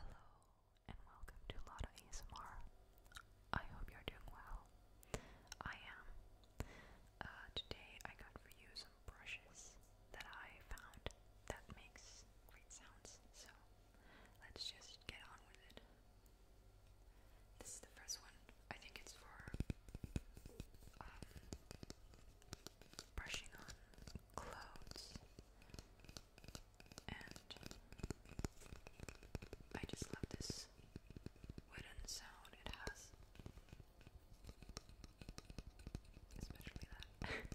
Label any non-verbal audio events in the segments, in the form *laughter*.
Hello and welcome to Lotta ASMR. I hope you're doing well. I am. Uh, today I got for you some brushes that I found that makes great sounds. So let's just get on with it. This is the first one. I think it's for um, brushing on clothes, and I just love this wooden sound it has, especially that. *laughs*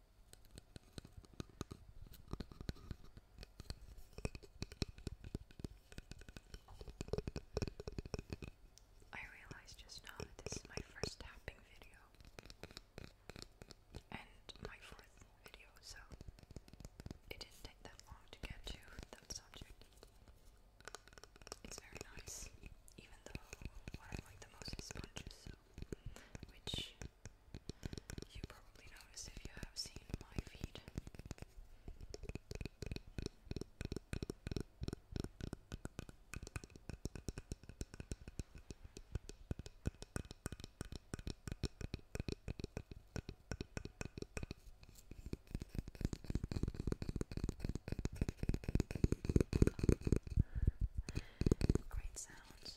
I realized just now this is my first tapping video and my fourth video, so it didn't take that long to get to that subject. It's very nice, even though what I like the most is sponges, which you probably noticed if you have seen my feet. Great sounds.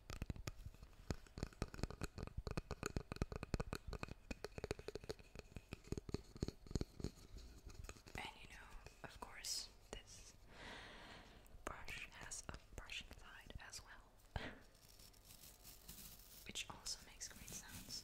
And you know, of course, this brush has a brushing side as well, *laughs* which also makes great sounds.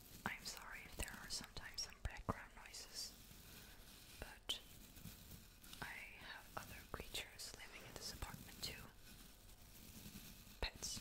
I'm sorry if there are sometimes some background noises, but I have other creatures living in this apartment too. Pets.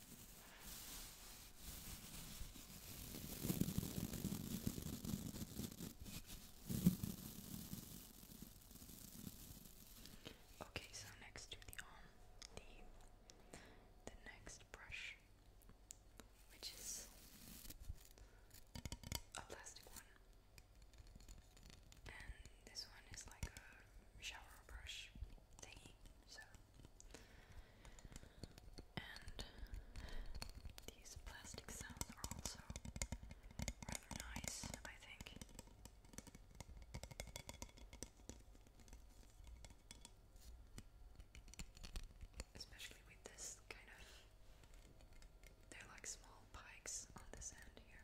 Okay, so next to the arm, the the next brush, which is a plastic one, and this one is like a shower brush thingy. So and these plastic sounds are also rather nice, I think. Especially with this kind of. They're like small pikes on this end here.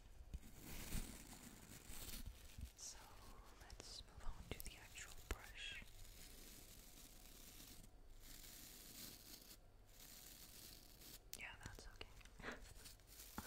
So let's move on to the actual brush. Yeah, that's okay.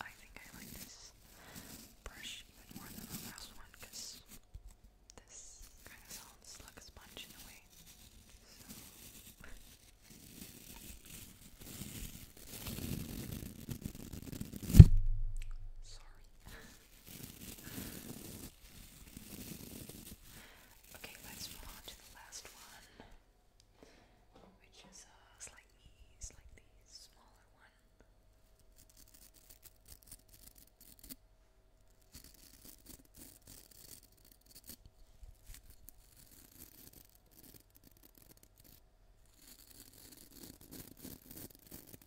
I think I like this brush even more than the last one because this kind of sounds like a sponge in a way. So. *laughs* Sorry. *laughs* Okay, let's move on to the last one, which is a uh, slightly, smaller one.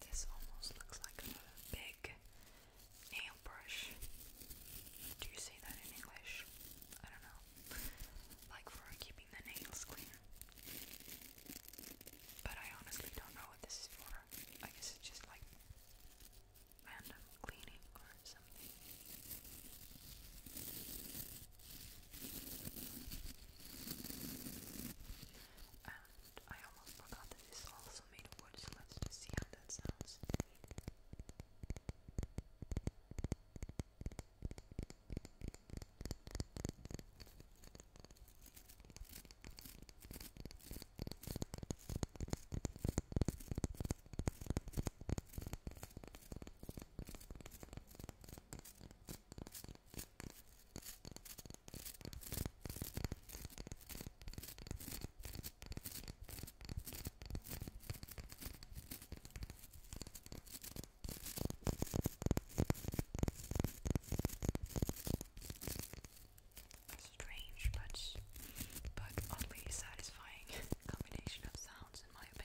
This almost looks like a big nail brush. Do you say that in English? I don't know. Like for keeping the nails clean. But I honestly don't know what this is for. I guess it's just like random cleaning I almost forgot this is also made of wood, so let's just see how that sounds. Strange but but oddly satisfying *laughs* combination of sounds in my opinion.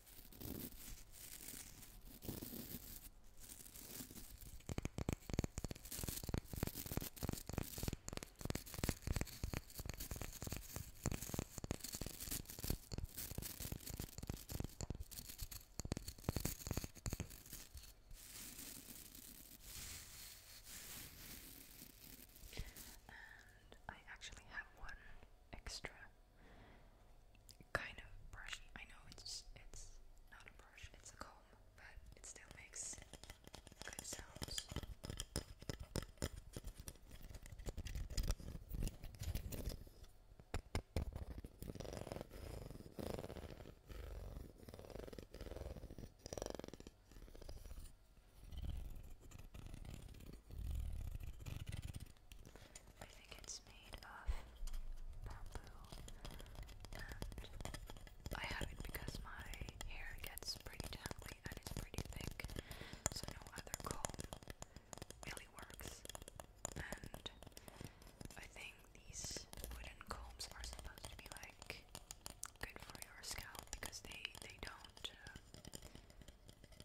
And I actually have one extra kind of brush. I know it's it's not a brush, it's a comb, but it still makes good sounds. I think it's made of bamboo, and I have it because my hair gets pretty tangly and it's pretty thick, so no other comb really works. And I think these wooden combs are supposed to be like good for your scalp because they they don't uh,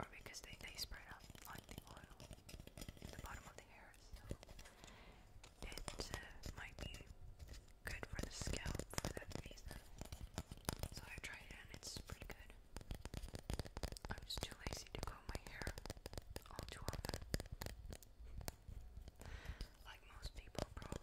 or because they, they spread up like the oil in the bottom of the hair, it uh, might be good for the scalp for that reason. So I tried it and it's pretty good. I'm just too lazy to comb my hair all too often. Like most people, probably.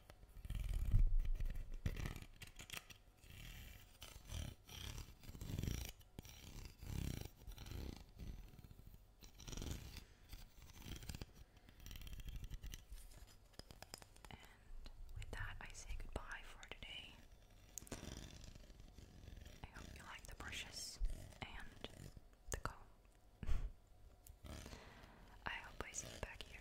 with that, I say goodbye for today. I hope you like the brushes and the comb. *laughs* I hope I see you back here